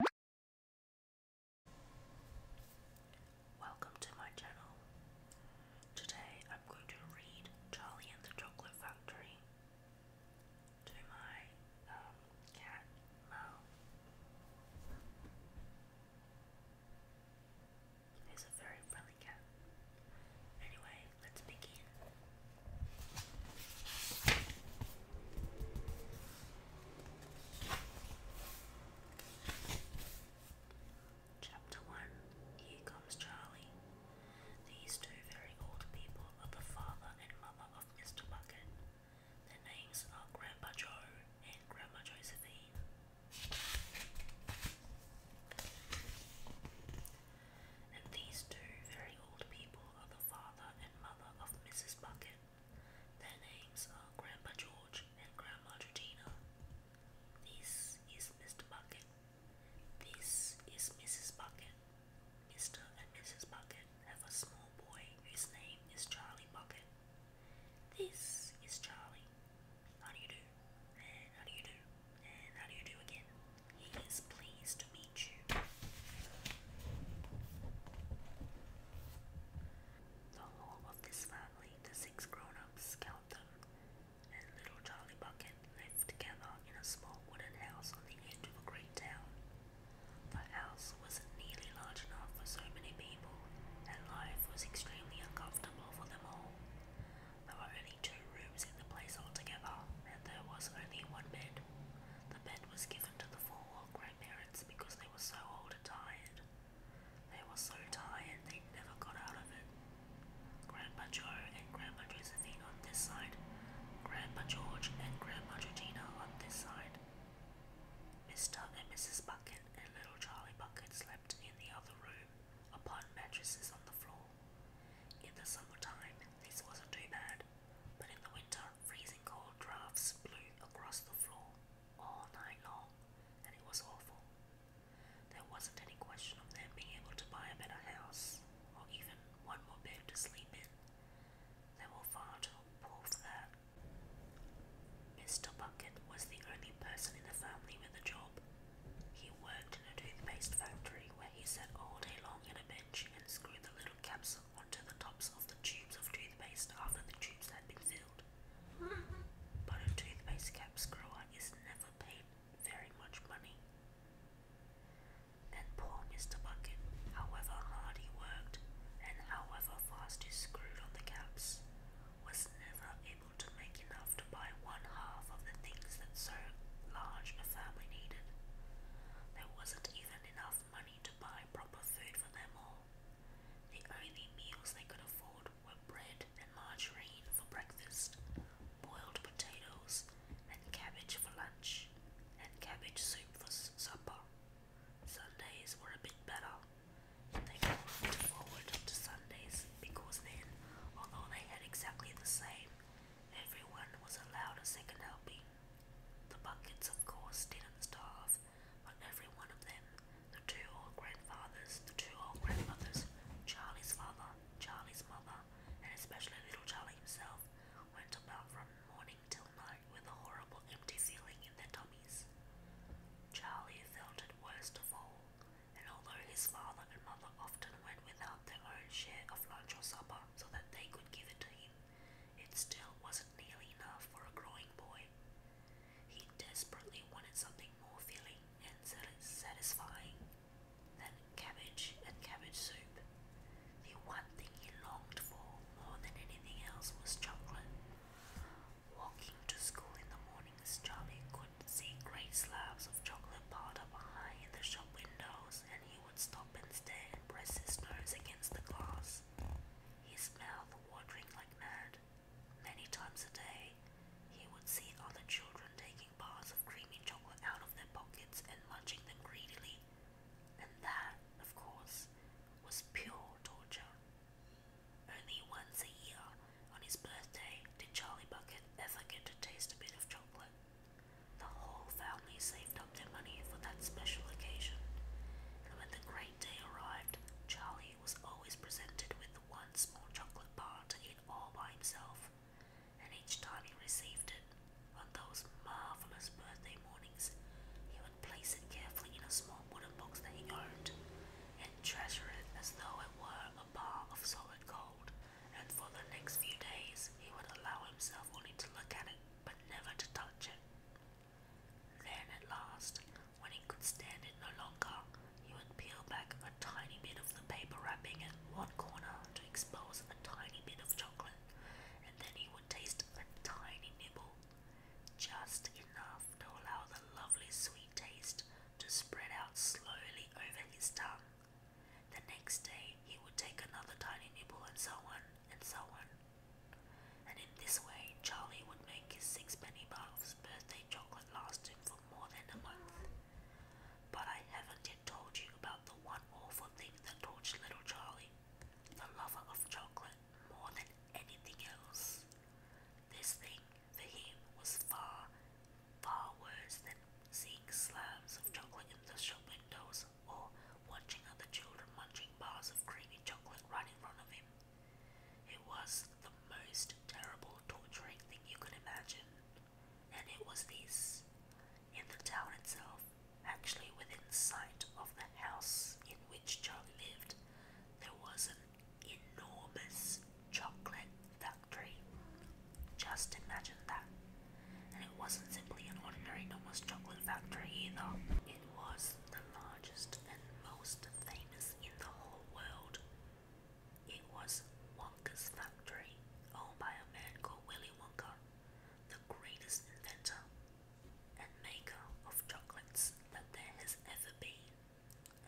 Welcome to my channel. Today I'm going to read Charlie and the Chocolate Factory to my um, cat Mo. He's a very friendly cat. Anyway, let's begin. Chapter 1 Here Comes Charlie. These two very old people are the father and mother of Mr. Bucket. Their names are Grandpa Joe and Grandma Josephine. And these two very old people are the father and mother of Mrs. Bucket. Their names are Grandpa George and Grandma Georgina. This is Mr. Bucket. This is Mrs. Bucket. Mr. and Mrs. Bucket have a small boy whose name is Charlie Bucket. This is Charlie. How do you do? And how do you do? And how do you do again? He is pleased to be the whole of this family, the six grown-ups, count them, and little Charlie Bucket lived together in a small wooden house on the edge of a great town. The house wasn't nearly large enough for so many people, and life was extremely uncomfortable for them all. There were only two rooms in the place altogether, and there was only one bed. The bed was given to the four-wheel grandparents because they were so old and tired. They were so tired they never got out of it. Grandpa Joe and Grandma Josephine on this side, Grandpa George and Grandma Georgina on this side. Mr. and Mrs. Bucket and little Charlie Bucket slept in the other room upon mattresses on the floor. In the summertime, this wasn't too bad but in the winter, freezing cold drafts blew across the floor all night long, and it was awful. There wasn't any question of them being able to buy a better house, or even one more bed to sleep in. They were far too poor for that. Mr. Bucket was the only person in the family with a job. He worked in a toothpaste factory where he sat all day long at a bench and screwed the little capsules onto the tops of the tubes of toothpaste after the tubes had been filled. But a toothpaste cap screwer is never paid very much money. And poor Mr. Bucket, however hard he worked and however fast he screwed on the caps, was never able to make enough to buy one half of the things that so large a family needed. There wasn't even enough enough money to buy proper food for them all. The only meals they could afford were bread and margarine for breakfast, boiled potatoes and cabbage for lunch, and cabbage soup for supper. Sundays were a bit better, and they looked forward to Sundays because then, although they had exactly the same, everyone was allowed a second helping. The buckets, of course, didn't starve. On every one of them, the two old grandfathers, the two old grandmothers, Charlie's father, Charlie's mother, and especially little Charlie himself, went about from morning till night with a horrible empty feeling in their tummies. Charlie felt it worst of all, and although his father and mother often went without their own share of lunch or supper so that they could give it to him, it still wasn't nearly enough for a growing boy. He desperately wanted something more filling and satisfying than cabbage and cabbage soup. The one thing he longed for more than anything else was chocolate. Walking to school in the morning, Charlie could see great slabs of chocolate piled behind the shop windows, and he would stop and stare and press his nose against the glass, his mouth watering like mad. Many times a day, he would see other children taking bars of creamy chocolate out of their pockets and munching them greedily, and that, of course, was pure torture. Only once a year, on his birthday, did Charlie Bucket ever get to taste a bit of chocolate, the whole family saved up their money for that special occasion, and when the great day arrived, Charlie was always presented with one small chocolate bar to eat all by himself, and each time he received it, on those marvelous birthday mornings, he would place it carefully in a small wooden box that he owned, and treasure it as though it were a bar of solid gold and for the next few days he would allow himself only to look at it, but never to touch it. Then at last, when he could stand it no longer, he would peel back a tiny bit of the paper wrapping in one corner to expose a tiny bit of chocolate, and then he would taste a tiny nibble, just enough to allow the lovely sweet taste to spread out slowly over his tongue. The next day he would take another tiny nibble and so on and so on. And in this way Charlie would make his sixpenny bath's birthday chocolate last him for more than a month. But I haven't yet told you about the one awful thing that tortured little Charlie, the lover of chocolate more than anything else. This thing for him was far, far worse than seeing slams of chocolate in the shop windows, or watching other children munching bars of creamy chocolate right in front of him. It was the most terrible, torturing thing you could imagine. And it was this in the town itself, actually within sight of the house in which Joe lived, there was an enormous chocolate that factory. Just imagine that. And it wasn't simply an ordinary normal chocolate factory either. It was the largest and most famous in the whole world. It was Wonka's factory, owned by a man called Willy Wonka, the greatest inventor and maker of chocolates that there has ever been.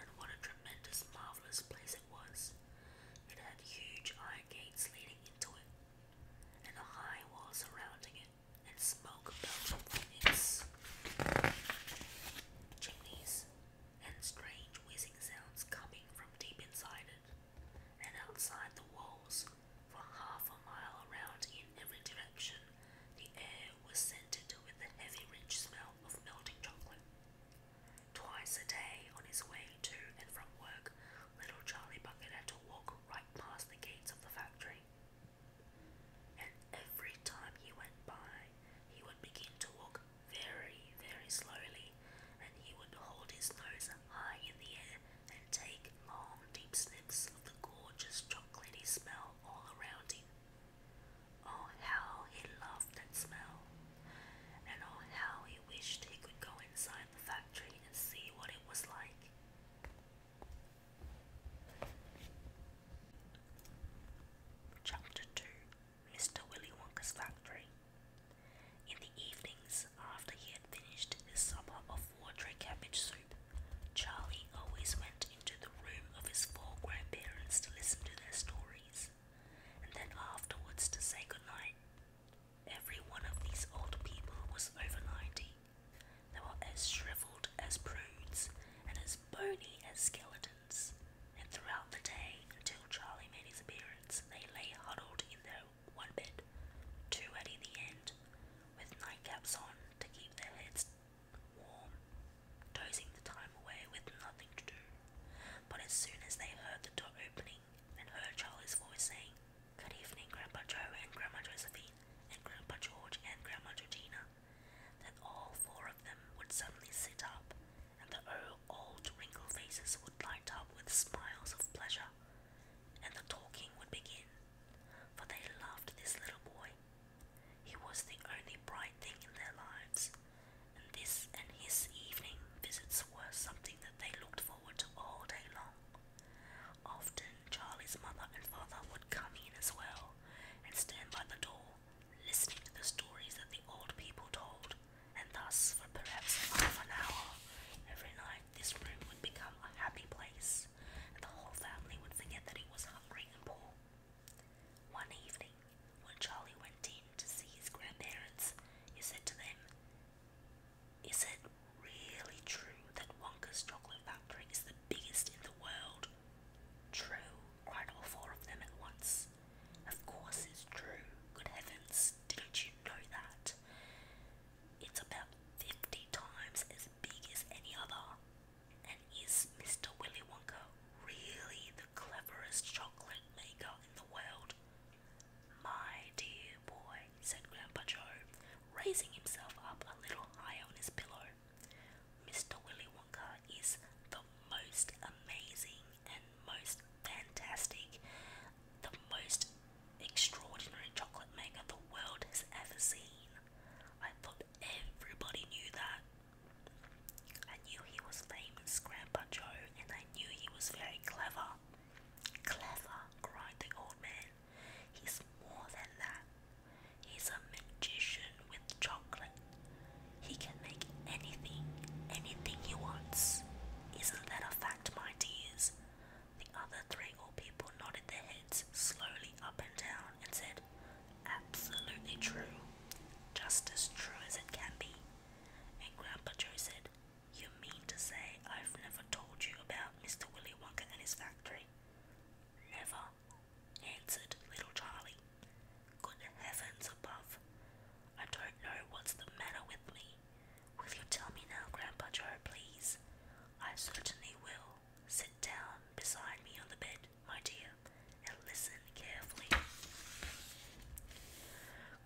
And what a tremendous, marvelous place it was. It had huge iron gates leading and a high wall surrounding it, and smoke belching from its chimneys, and strange whizzing sounds coming from deep inside it, and outside the walls, for half a mile around in every direction, the air was scented with the heavy, rich smell of melting chocolate. Twice a day, on his way to and from work, little Charlie Bucket had to walk right past the gates of the factory. And every time he went by, he would begin to walk very, very slowly, and he would hold his nose high in the air and take long, deep sniffs of the gorgeous chocolatey smell all around him. Oh, how he loved that smell, and oh, how he he wished could go inside the factory and see what it was like. Chapter 2 Mr. Willy Wonka's Factory In the evenings, after he had finished his supper of watery cabbage soup, Charlie always went into the room of his four grandparents to listen to their stories, and then afterwards to say good Every one of these old people was over ninety. They were as shriveled as prudes and as bony as skeletons, and throughout the day, until Charlie made his appearance, they lay huddled in their one bed, two at either end, with nightcaps on to keep their heads warm, dozing the time away with nothing to do. But as soon as they heard the door opening, and heard Charlie's voice saying, Good evening, Grandpa Joe and Grandma Josephine, and Grandpa George and Grandma Georgina. Then all four of them would suddenly sit up, and their old wrinkled faces would light up with smiles of pleasure, and the talking would begin, for they loved this little boy. He was the only bright thing in their lives, and this and his evening visits were something that they looked forward to all day long. Often Charlie's mother and father would come in as well and stand by the door, listening to the stories that the old people told, and thus for perhaps half an hour every night this room would become a happy place, and the whole family would forget that it was hungry and poor. One evening, when Charlie went in to see his grandparents, he said to them, Is it really true that Wonka's chocolate factory is the biggest in the world? True, cried all four of them at once. Of course it's true. Good heavens, didn't you know that? It's about fifty times as big as any other. And is Mr. Willy Wonka really the cleverest chocolate maker in the world. My dear boy, said Grandpa Joe, raising himself up a little higher on his pillow. Mr. Willy Wonka is the most amazing and most fantastic, the most extraordinary chocolate maker the world has ever seen. I thought everybody knew that. I knew he was lame Grandpa Joe, and I knew he was very clever. Clever, cried the old man. He's more than that. He's a magician with chocolate. He can make anything, anything he wants. Isn't that a fact, my dears? The other three old people nodded their heads slowly up and down and said, Absolutely true. Just as true as it can be. And Grandpa Joe said, You mean to say I've never told you about Mr. Willy Wonka and his factory? Never, answered little Charlie. Good heavens above. I don't know what's the matter with me. Will you tell me now, Grandpa Joe, please? I certainly will. Sit down beside me on the bed, my dear, and listen carefully.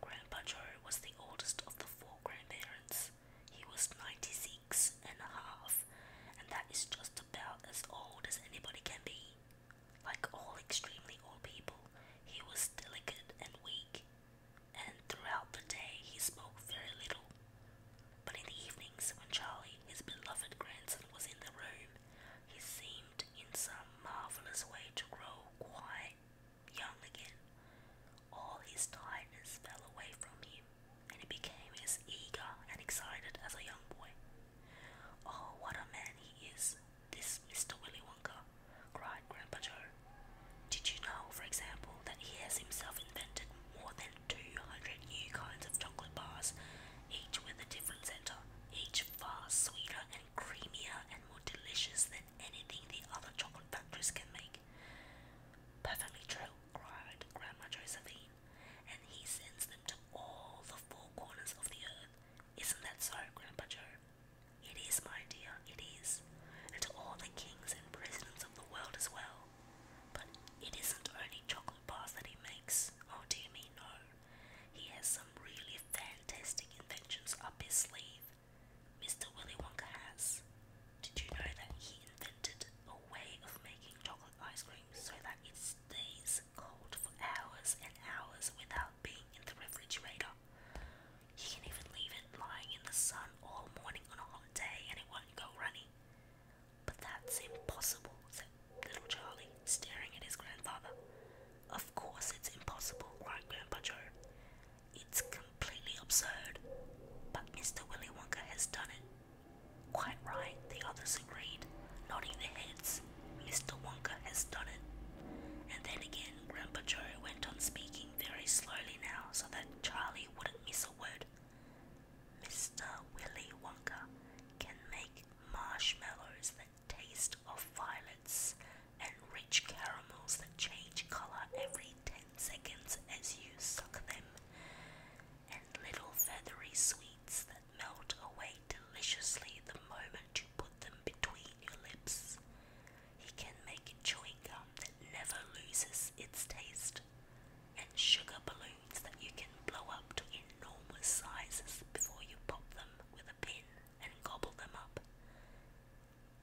Grandpa Joe was the oldest of the four grandparents. He was 96 and a half, and that is just about as old as anybody can be. Like all extremely old people, he was delicate and weak, and throughout the day he spoke very little. But in the evenings, when Charlie, his beloved grandson, was in the room, he seemed in some marvelous way to grow quite young again. All his tiredness fell away from him, and he became as eager and excited as a young boy. Oh, what a man he is, this Mr. Willy Wonka, cried Grandpa Joe. Did you know, for example, that he has himself invented more than 200 new kinds of chocolate bars, each with a different center, each much far sweeter and creamier and more delicious than anything the other chocolate factories can make. Perfectly true, cried Grandma Josephine, and he sends them to all the four corners of the earth. Isn't that so, Grandpa Joe? It is, my dear, it is. And to all the kings and presidents of the world as well. But it isn't only chocolate bars that he makes. Oh dear me, no. He has some really fantastic inventions up his sleeve. Mr. Willy Wonka has. Did you know that he invented a way of making chocolate ice cream so that it stays cold for hours and hours without being in the refrigerator? You can even leave it lying in the sun all morning on a hot day and it won't go runny. But that's impossible, little Charlie, staring at his grandfather. Of course it's impossible, cried Grandpa Joe. It's completely absurd. But Mr. Willy Wonka has done it. Quite right, the others agreed, nodding their heads. Mr. Wonka has done it. And then again, Grandpa Joe went on speaking very slowly now so that Charlie wouldn't miss a word. Mr. Willy Wonka can make marshmallows that taste of violets and rich caramels that change color every 10 seconds as you suck them, and little feathery sweets that melt away deliciously the moment you put them between your lips. He can make chewing gum that never loses its taste, and sugar balloons that you can blow up to enormous sizes before you pop them with a pin and gobble them up.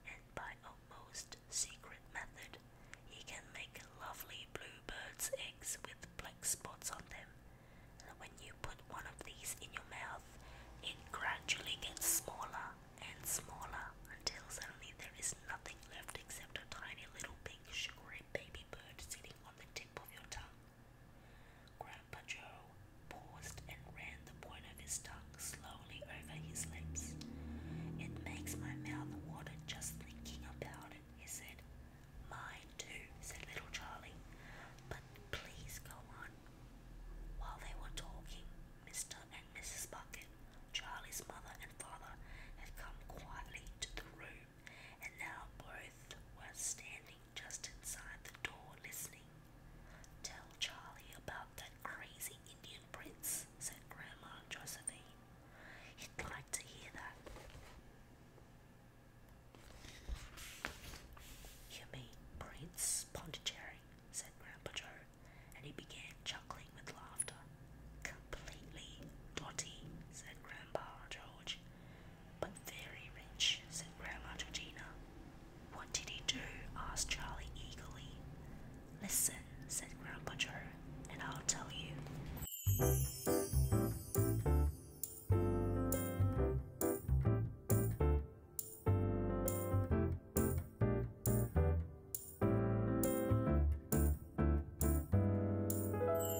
And by a most secret method, he can make lovely bluebirds' eggs with black spots on them. And when you put one of these in your mouth, it gradually gets smaller and smaller until suddenly there is nothing left except a tiny little pink sugary baby bird sitting on the tip of your tongue. Grandpa Joe paused and ran the point of his tongue slowly over his lips. It makes my mouth water just thinking about it, he said. Mine too, said little Charlie. But please go on. While they were talking, Mr. and Mrs. Bucket, Charlie's mother and father, had come quietly to the room and now both were standing just inside the door listening. Tell Charlie about that crazy Indian prince, said Grandma Josephine. He'd like to hear that. You mean Prince Pondicherry, said Grandpa Joe, and he began chuckling with laughter. Completely dotty, said Grandpa George. But very rich, said Grandma Georgina. What did he do? asked Charlie eagerly. Listen, said Grandma Joe, and I'll tell you.